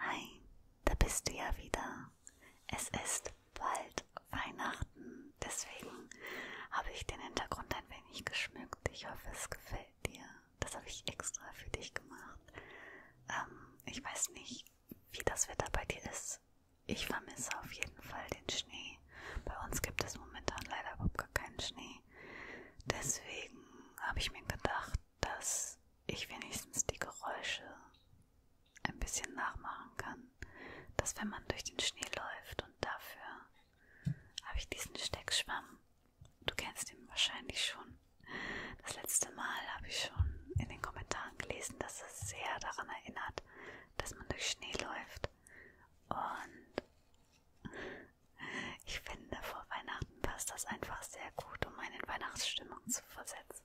Hi, da bist du ja wieder. Es ist bald Weihnachten, deswegen habe ich den Hintergrund ein wenig geschmückt. Ich hoffe, es gefällt dir. Das habe ich extra für dich gemacht. Ähm, ich weiß nicht, wie das Wetter bei dir ist. Ich vermisse auf jeden Fall den Schnee. Bei uns gibt es momentan leider überhaupt gar keinen Schnee. Deswegen habe ich mir gedacht, dass ich wenigstens die Geräusche ein bisschen nachmachen kann. Dass wenn man durch den Schnee läuft und dafür habe ich diesen Steckschwamm. Du kennst ihn wahrscheinlich schon. Das letzte Mal habe ich schon in den Kommentaren gelesen, dass es sehr daran erinnert, dass man durch Schnee läuft. Und ich finde, vor Weihnachten passt das einfach sehr gut, um einen in Weihnachtsstimmung zu versetzen.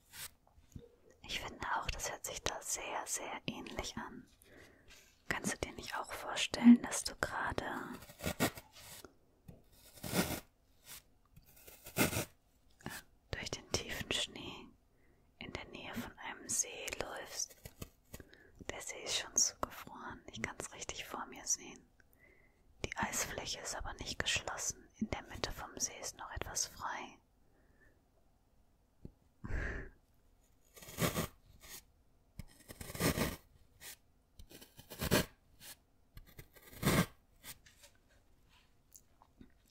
Ich finde auch, das hört sich da sehr, sehr ähnlich an. Kannst du dir nicht auch vorstellen, dass du gerade durch den tiefen Schnee in der Nähe von einem See läufst? Der See ist schon zugefroren, ich kann es richtig vor mir sehen. Die Eisfläche ist aber nicht geschlossen, in der Mitte vom See ist noch etwas frei.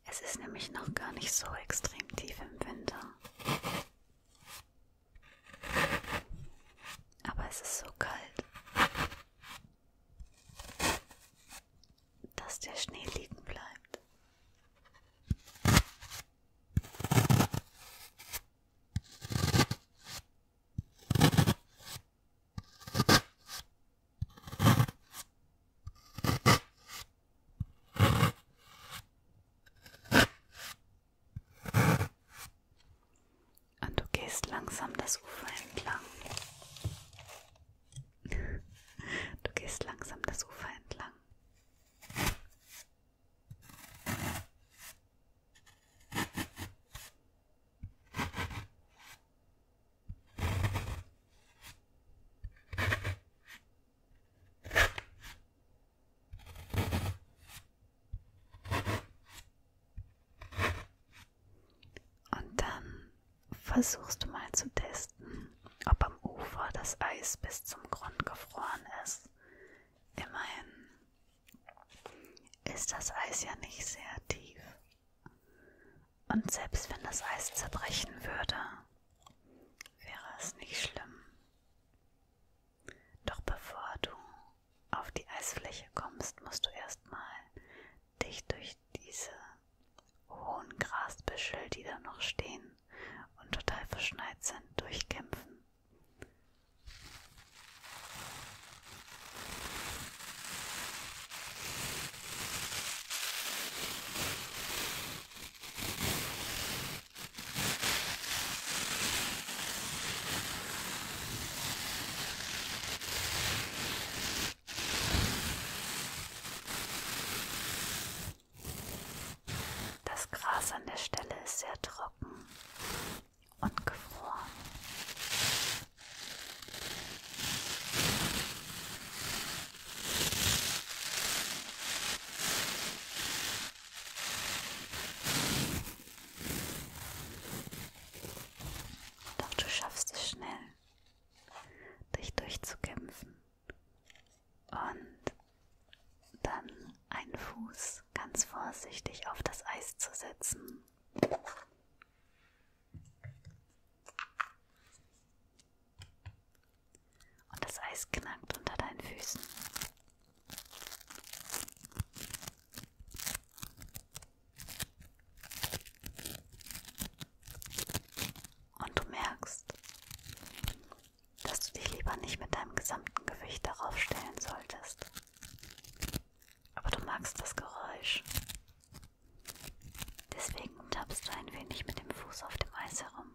Es ist nämlich noch gar nicht so extrem tief im Winter. Aber es ist so kalt dass der Schnee liegen bleibt. Und du gehst langsam das Ufer entlang. Du gehst langsam das Ufer entlang. Und dann versuchst du mal zu testen, ob am Ufer das Eis bis zum Grund gefroren ist. Immerhin ist das Eis ja nicht sehr tief. Und selbst wenn das Eis zerbrechen würde, wäre es nicht schlimm. Doch bevor du auf die Eisfläche kommst, musst du erstmal dich durch diese hohen Grasbüschel, die da noch stehen und total verschneit sind, durchkämpfen. Das Gras an der Stelle ist sehr trocken und gefroren. Doch du schaffst es schnell, dich durchzukämpfen und dann einen Fuß ganz vorsichtig auf das Eis zu setzen. Und das Eis knackt unter deinen Füßen. Und du merkst, dass du dich lieber nicht mit deinem gesamten Gewicht darauf stellen solltest. Aber du magst das Geräusch. Deswegen tappst du ein wenig mit dem Fuß auf dem Eis herum.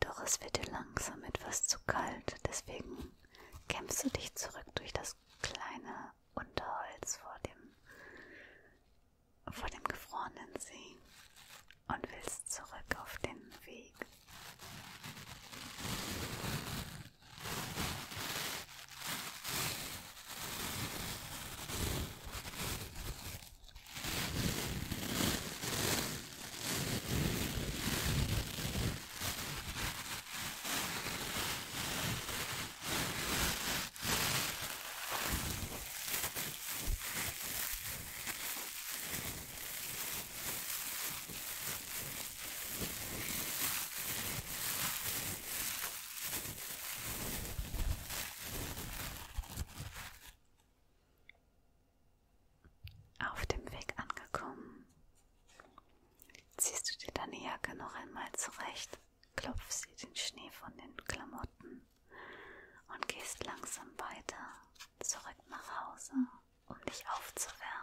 Doch es wird dir langsam etwas zu kalt, deswegen kämpfst du dich zurück durch das kleine Unterholz vor dem vor dem gefrorenen See und willst zurück auf den Weg. Auf dem Weg angekommen, ziehst du dir deine Jacke noch einmal zurecht, klopfst dir den Schnee von den Klamotten und gehst langsam weiter zurück nach Hause, um dich aufzuwärmen.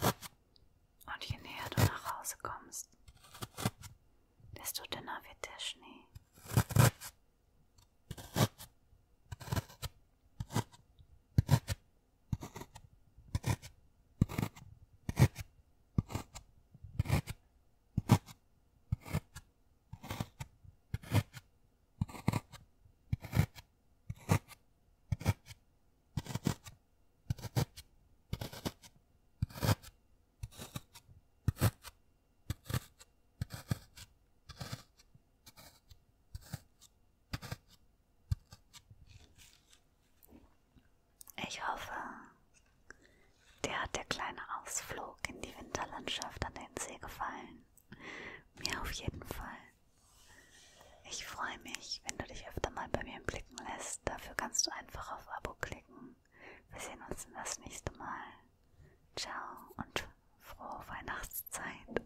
Und je näher du nach Hause kommst, desto dünner wird der Schnee. Ich hoffe, dir hat der kleine Ausflug in die Winterlandschaft an den See gefallen. Mir auf jeden Fall. Ich freue mich, wenn du dich öfter mal bei mir blicken lässt. Dafür kannst du einfach auf Abo klicken. Wir sehen uns das nächste Mal. Ciao und frohe Weihnachtszeit.